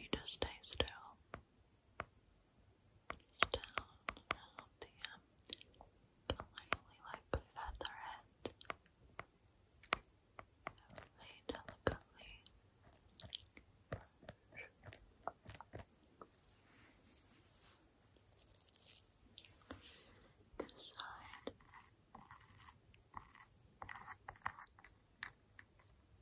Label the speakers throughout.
Speaker 1: You just stay still. Just down the um, lightly like feather it. delicately. This the,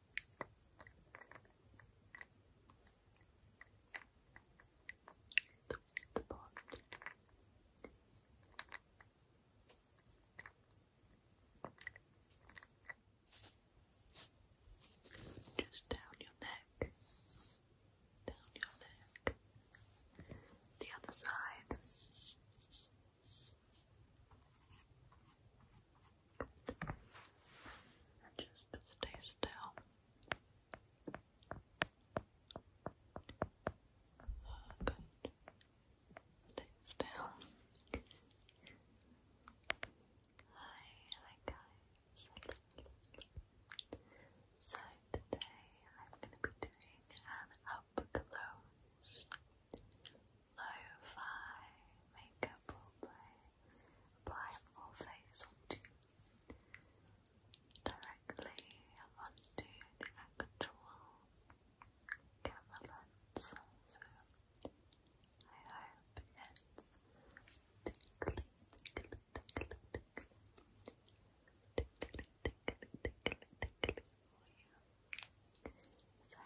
Speaker 1: the Just down your neck, down your neck, the other side, just stay still. Good. Stay still. Hi, hi guys. So today I'm going to be doing an up close lo-fi makeup will play. Apply full face directly onto the actual camera So I hope it's tickly, tickly, tickly, tickly, tickly, tickly, tickly, tickly for you. So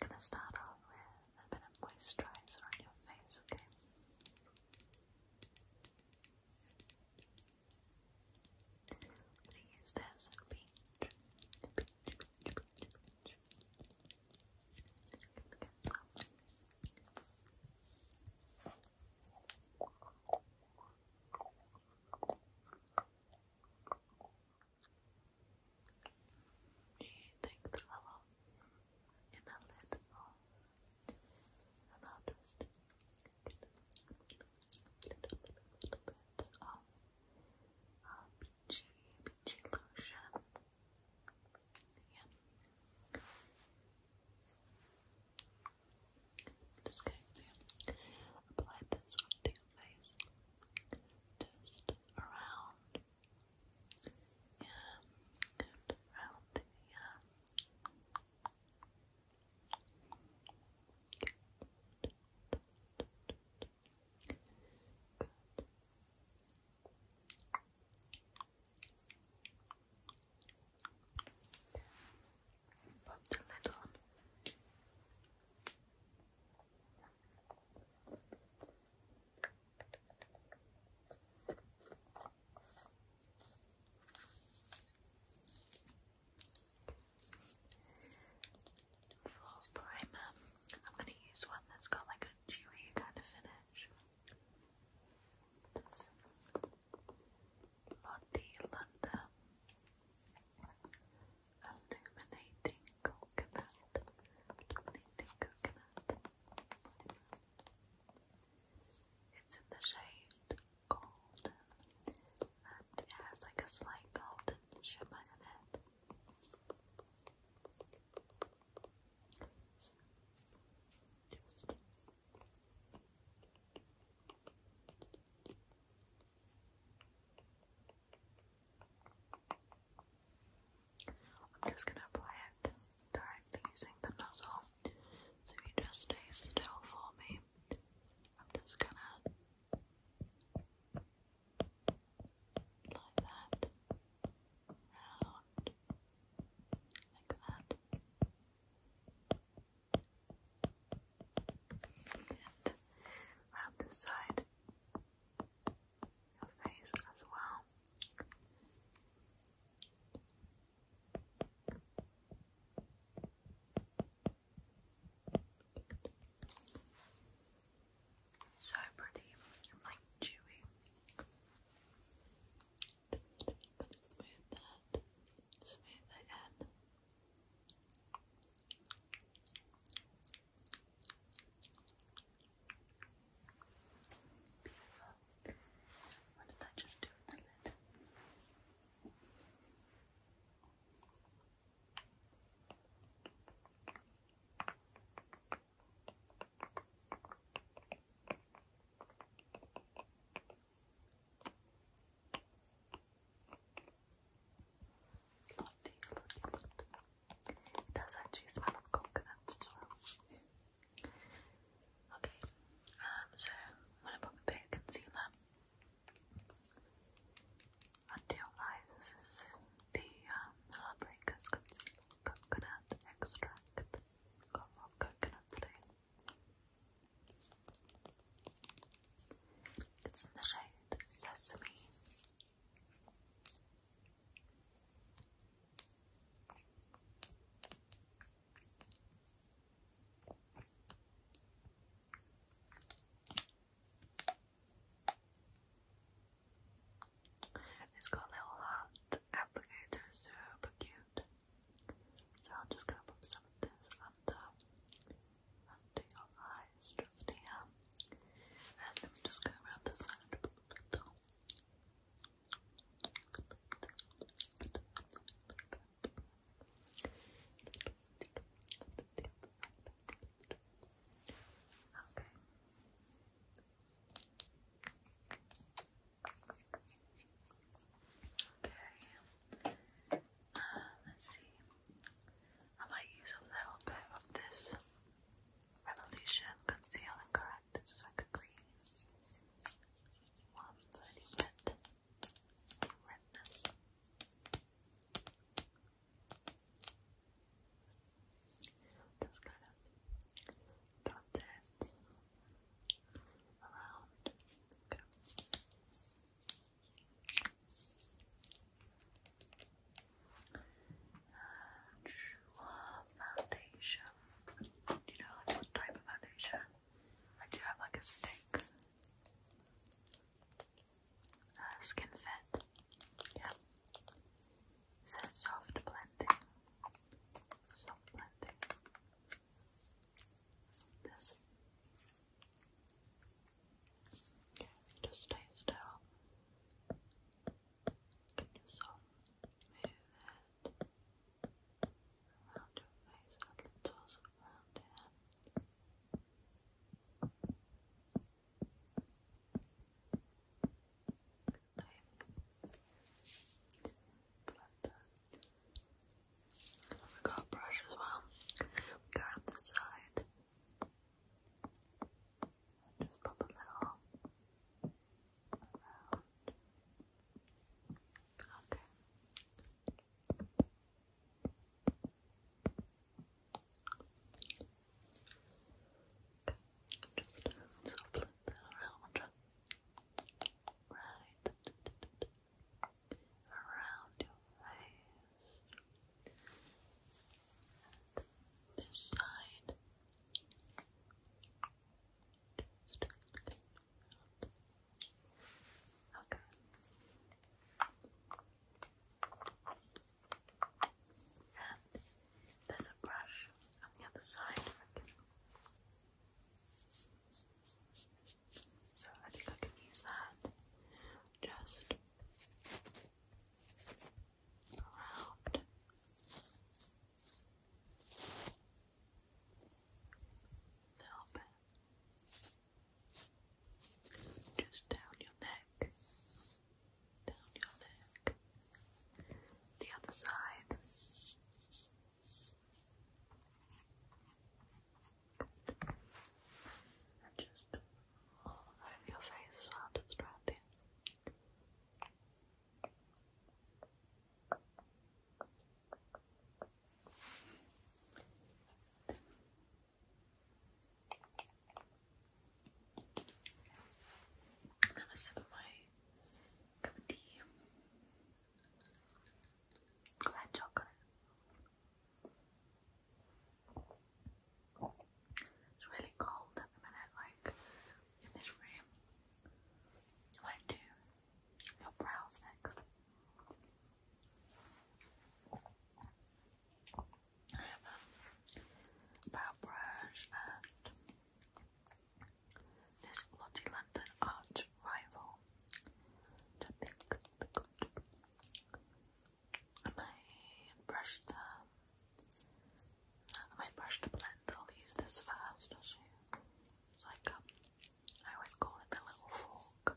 Speaker 1: we're going to start off with a bit of moisturizer on your face, okay? I'm going to use this we take the level in a little and i little bit of uh, peachy, peachy lotion. Yeah. I'm just going apply this onto face. Just around. Yeah, good around the yeah. Uh, good. the lid for primer, I'm going to use one that's got like a dewy kind of finish. That's Lottie London illuminating coconut, illuminating coconut. It's in the shade golden, and it has like a slight golden shimmer in it. I'm just going to apply it directly using the nozzle. So you just stay still for me, I'm just going to like that, round, like that. And round this side your face as well. So pretty and like chewy. But smooth that, smooth that in. Beautiful. What did I just do with the lid? Lottie, Lottie, Lottie. It does actually smell of coconut as well. Okay, um, so I'm gonna pop a bit concealer under your eyes. This is the um, Heartbreakers Coconut Extract. of coconut today. It's in the shade Sesame it's got a little hand applicator, super cute. So I'm just gonna put some of this under, under your eyes, just here. And let me just go around the side a little bit Okay. Okay. Uh, let's see. I might use a little bit of this Revolution Conceal and Correct. This like a green one, so redness. Just kind of dot it around. And foundation. Do you know what type of foundation? I do have like a stick. skin fit. Yeah. says soft blending. Soft blending. This just stay still. Can you move it around your face a little, so around here? I've got a brush as well. Go around the side. And just pop a little around. Okay. Okay, just um, sort of around. Right. Around your face this side. Okay. And there's a brush on the other side. So I think I can use that just around. Little bit. Just down your neck. Down your neck. The other side. Good. Just all over your face while I'm gonna sip my cup of tea. Glad chocolate. It's really cold at the minute, like in this room. I do your brows next. I have a brow brush and this Lottie London Arch Rival. I think my brush the my brush the blend. I'll use this first. I'll show you. It's like um, I always call it the little fork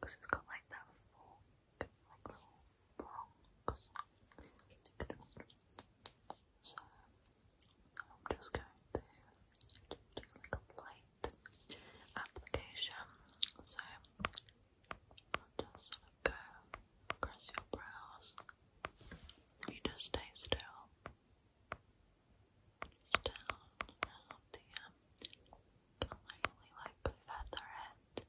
Speaker 1: because it's got like that fork, like little prongs. So I'm just going to do like a light application. So just go across your brows. You just stay still. Just down around um, like feather it.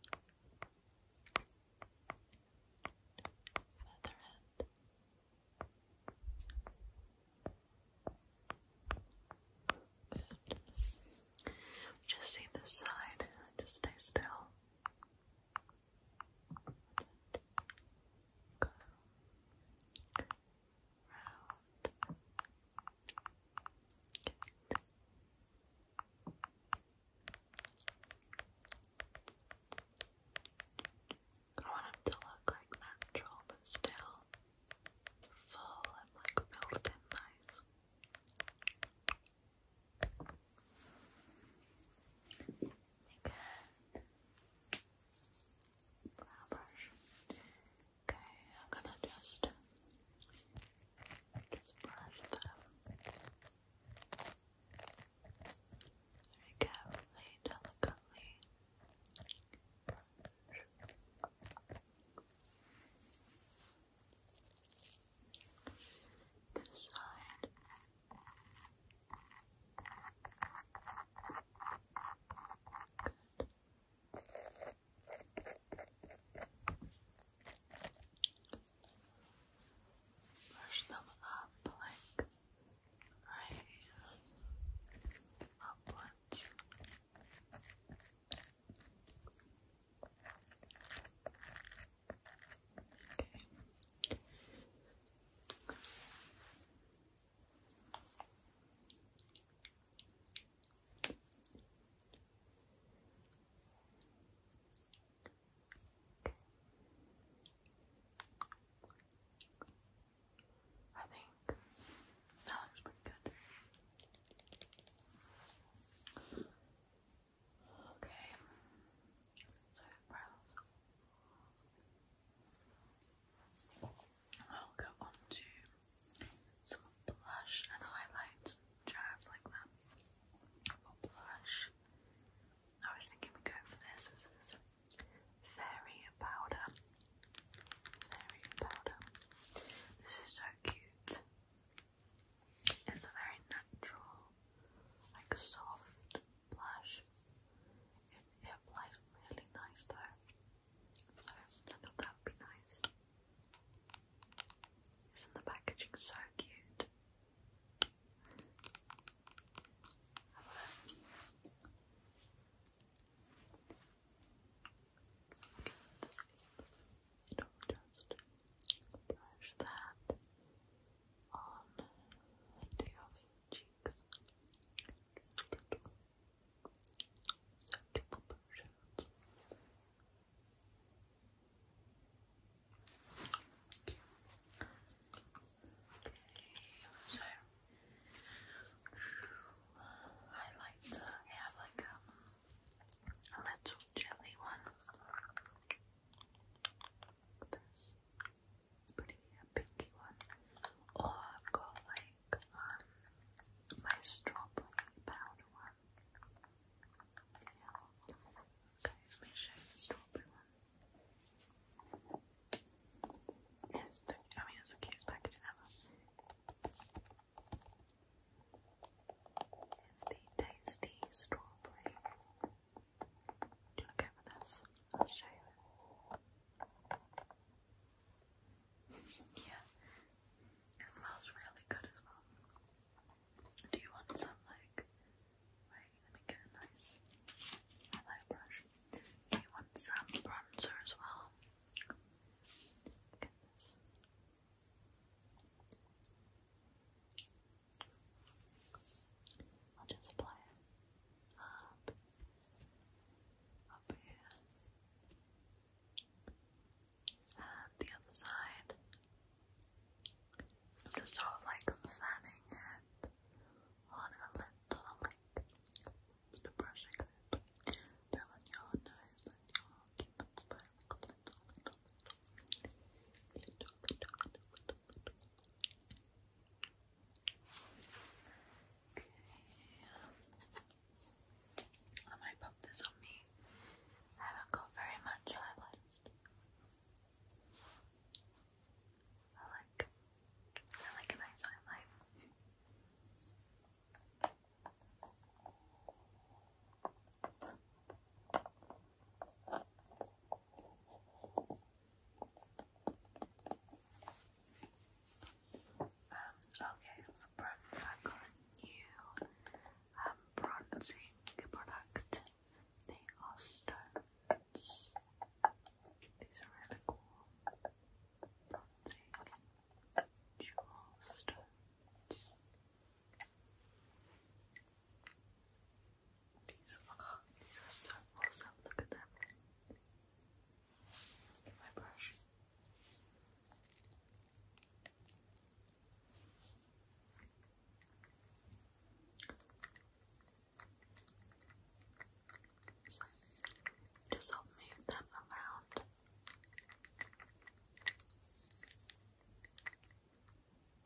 Speaker 1: Just see this side. Just stay still go round it. I want him to look like natural but still full and like built in nice. Make a brow brush. Okay, I'm gonna just just brush them very carefully, delicately. This side. Good. them up like right upwards. Okay. I think that looks pretty good. Okay. So eyebrows. I'll go on some blush and highlight jazz like that. For blush. I was thinking we go for this. This is fairy powder. Fairy powder. This is so cute. It's a very natural, like soft blush. It, it applies really nice though. So I thought that would be nice. Isn't the packaging so cute? and i just brush that on the cheeks. Just couple portions. Okay. so I like to have like um, a little jelly one pretty pinky one. Or oh, I've got like um my strawberry powder one. Okay, let me show you the strawberry one. It's the, I mean, the cutest packaging ever is the tasty strawberry. Do you look over this? I'll show you. yeah, it smells really good as well. Do you want some like? Wait, let me get a nice highlight brush. Do you want some bronzer as well? Look this. I'll just apply it up, up here, and the other side. I'm just sort of like fanning it on a little, like, just brushing it down your nose and your cupid's bow. I might pop this on me. I haven't got very much highlights. I like I like a nice highlight. Um, okay, for bronze, I've got a new um, bronzing product. They are stones. These are really cool. Bronzing jewel stones. These, are so awesome. Look at them. Look my brush. just i move them around.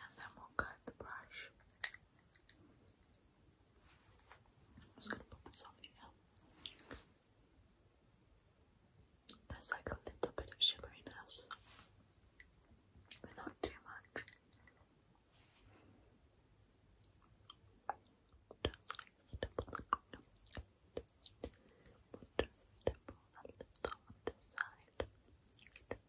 Speaker 1: and then we'll cut the brush. I'm just gonna put this on here. There's like a little bit of shimmeriness, but not too much. Just stipple, just this side.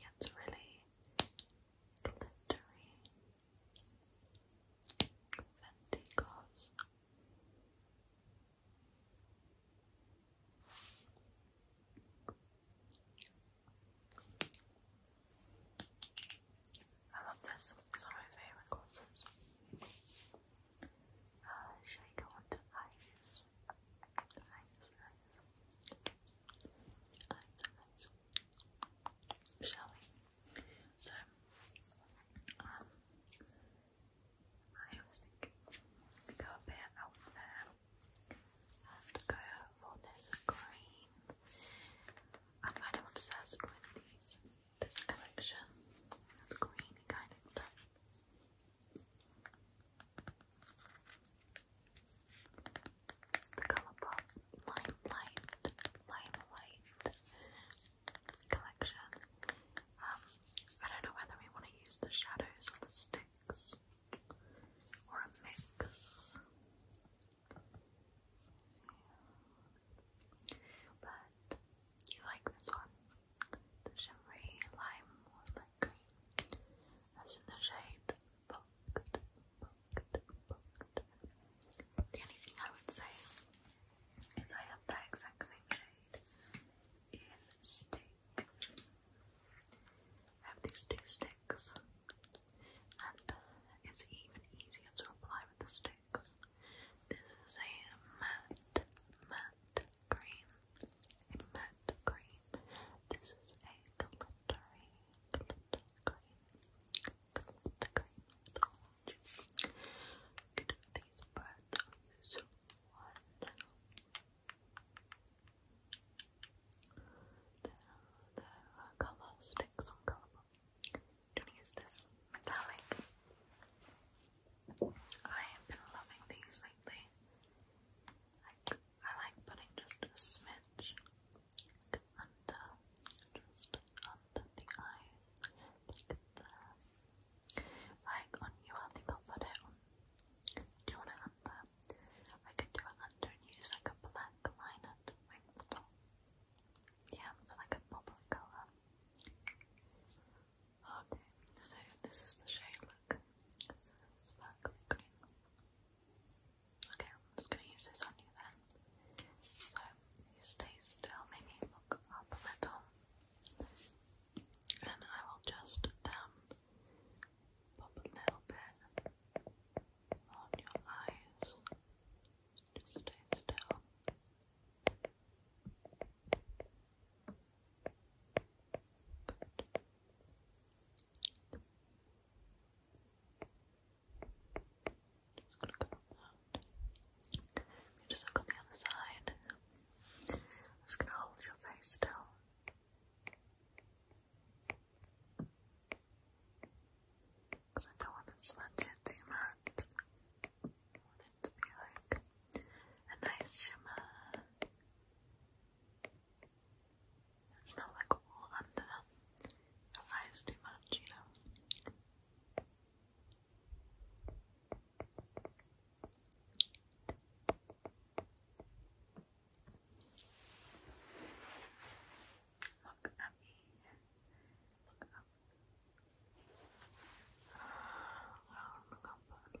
Speaker 1: It's really glittery. Fenty gloss. I love this. It's one of my favourite glosses. Uh, should I go on to eyes? Eyes, eyes. Eyes, eyes. Shall we? So, um, I was thinking we go a bit out there. have to go for this green. I'm kind of obsessed with these, this collection of green kind of stuff. It's the Colour Pop Limelight, Limelight collection. Um, I don't know whether we want to use the shadows or the sticks or a mix. But you like this one the shimmery lime moonlit green in the shade The only thing I would say is I have that exact same shade in stick. I have these two sticks and it's even easier to apply with the sticks. This is a matte, matte green, a green. This is a glittery, glitter green, these birds on this one. the color sticks on colourful. am use this metallic. I have been loving these lately. Like, I like putting just a smidge under, just under the eye, like there. on you, I think I'll put it on. Do you want it under? I could do it under and use like a black liner to make the top. Yeah, it's like a pop of colour. Okay, so this is the shade, look. Okay, I'm just going to use this on you then. So, you stay still, maybe look up a little. And I will just down, um, pop a little bit on your eyes. Just stay still. Just You look on the other side. I'm just gonna hold your face still. Because I don't want to smudge too much to be like a nice shimmer. It's not like all under your eyes too much, you know. Look at me. Look up. Oh, look up a little.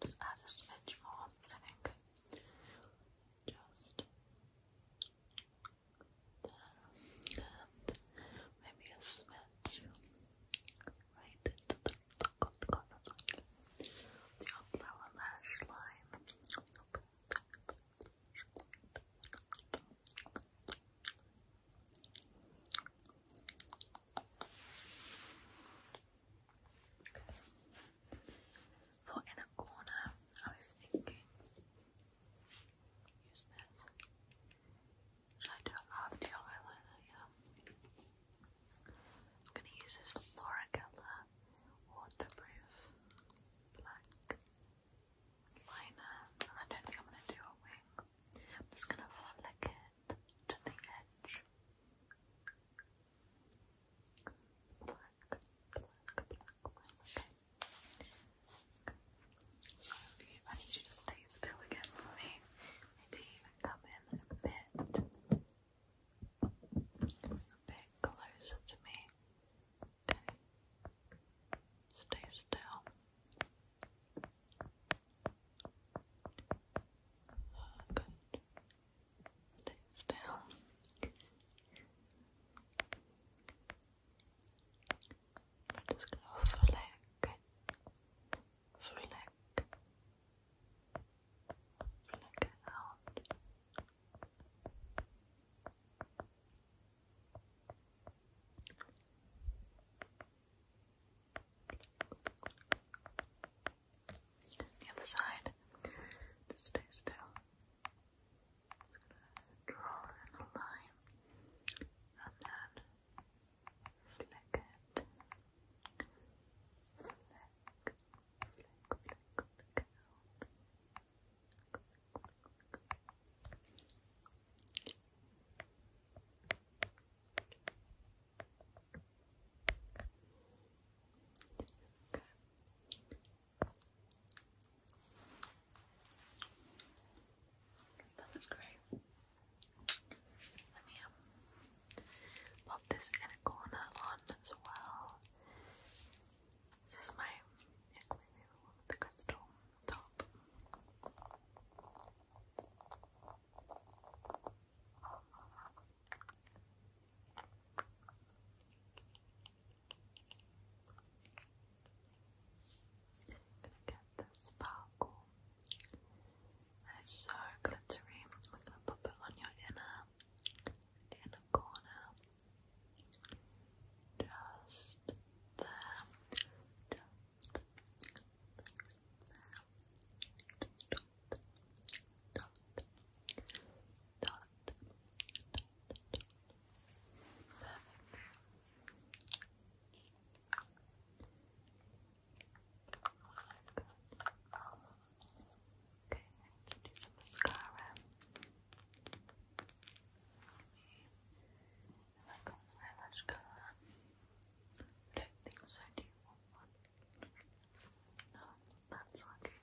Speaker 1: I'll just add a smidge more, I think. Just and maybe a smidge right into the, the, corner side of lash line. For inner corner, I was thinking Use this. I don't have the eyeliner, yeah. I'm gonna use this Laura Geller waterproof black liner. I don't think I'm gonna do a wing. I'm just gonna flick it to the edge. Black, black, black okay? So I need you to stay still again for me. Maybe even come in a bit, a bit closer to me. Okay. Stay still. good. Stay still just gonna flick, flick, flick out. The other side, just stay still. Just draw a line and then flick it. That was great. Let me um, pop this in a corner as well. This is my aquarium the crystal top. Gonna get sparkle. it's so glittery. We're gonna pop it on your inner inner corner. Just there. Just there. Dot, dot, dot, dot, Okay, I need do some mascara. Have I got an eyelash colour? don't think so. Do you want one? No, that's okay.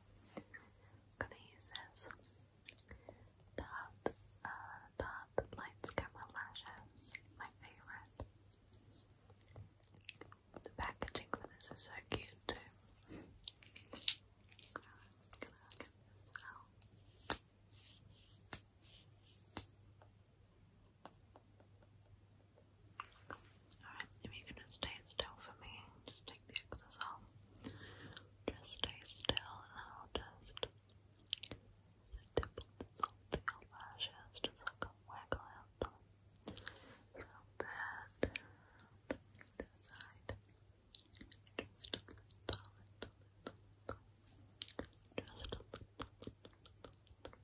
Speaker 1: gonna use this. Dot, uh, dot lights camera lashes, my favorite. The packaging for this is so cute too. Alright, if you're going stay still for me, just take the X's off. Just stay still and I'll just I dip the salty lashes just like a waggle out them. A little bit. And the side. Just a little, little, little. Just a little, little, little.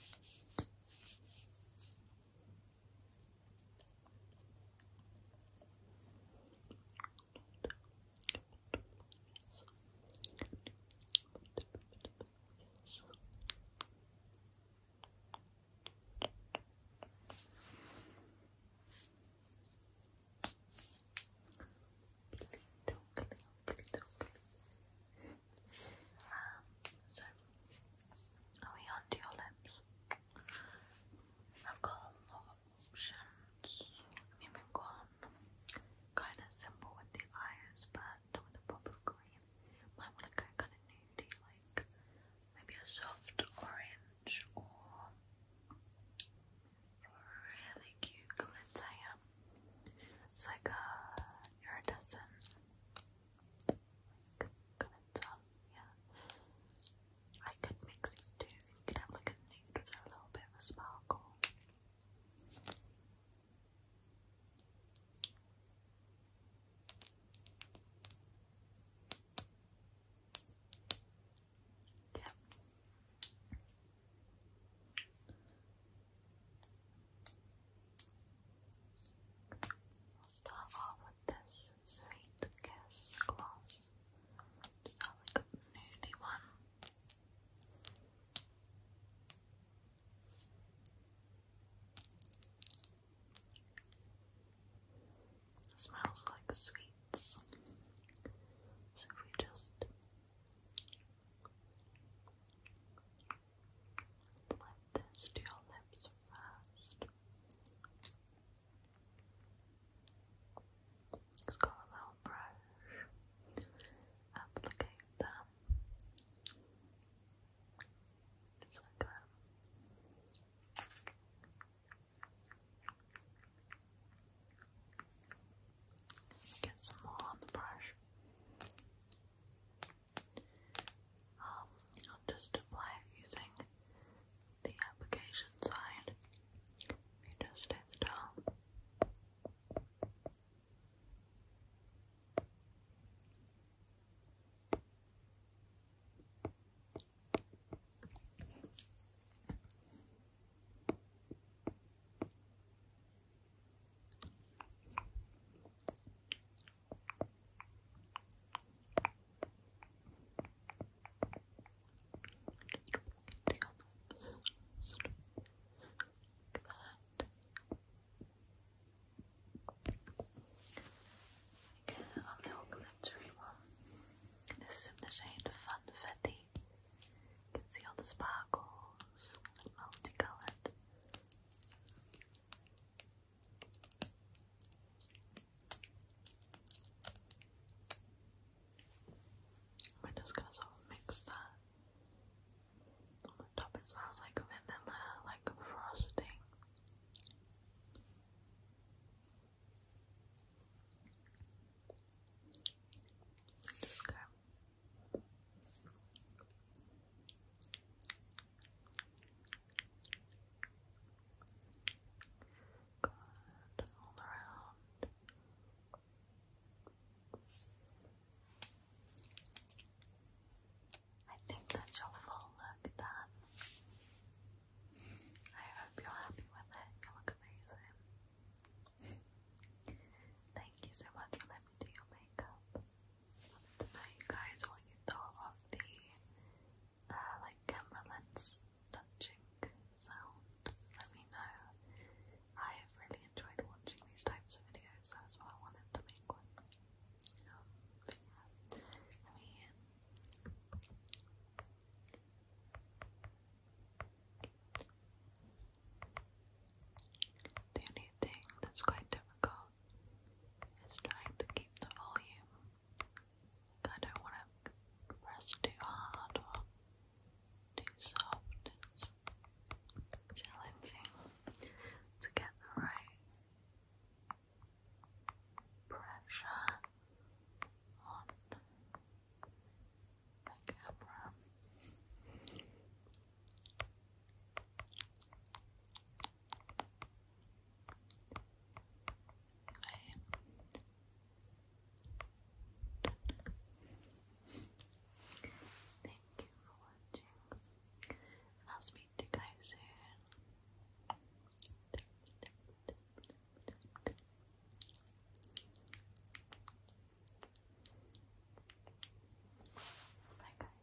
Speaker 1: Just a little, little, little. Yes. Um, so, are we onto your lips? I've got a lot of options. I mean, we kind of simple with the eyes, but with a pop of green. Might want to go kind of nudie, like maybe a soft orange or really cute glitter. It's like a iridescent, better. Yeah. I could mix these two you could have like a nude with a little bit of a sparkle. Yeah. I'll start off with this Sweet Kiss Gloss. Just have like a nudie one. smells like sweets. So we just Apply this to your lips first. Just got a little brush. Applicate that. Just like that. Get some more on the brush. Um, I'll just apply it using the application side. You just stay still. Okay, our little glittery one. This is the shade of Funfetti. You can see all the sparkles, multicolored we just gonna sort mix that. On the top it smells like vanilla, like frosting. Just go. Good, all around. I think that's your full look done. I hope you're happy with it. You look amazing. Thank you so much for letting me do your makeup. I wanted know you guys what you thought of the uh, like camera lens touching sound, let me know. I've really enjoyed watching these types of videos, so that's why I wanted to make one. Um, the only thing that's quite difficult is trying to keep the volume I don't want to press too hard or too soft. It's challenging to get the right pressure on the camera. Okay. Thank you for watching. And I'll speak to you guys soon. Bye guys.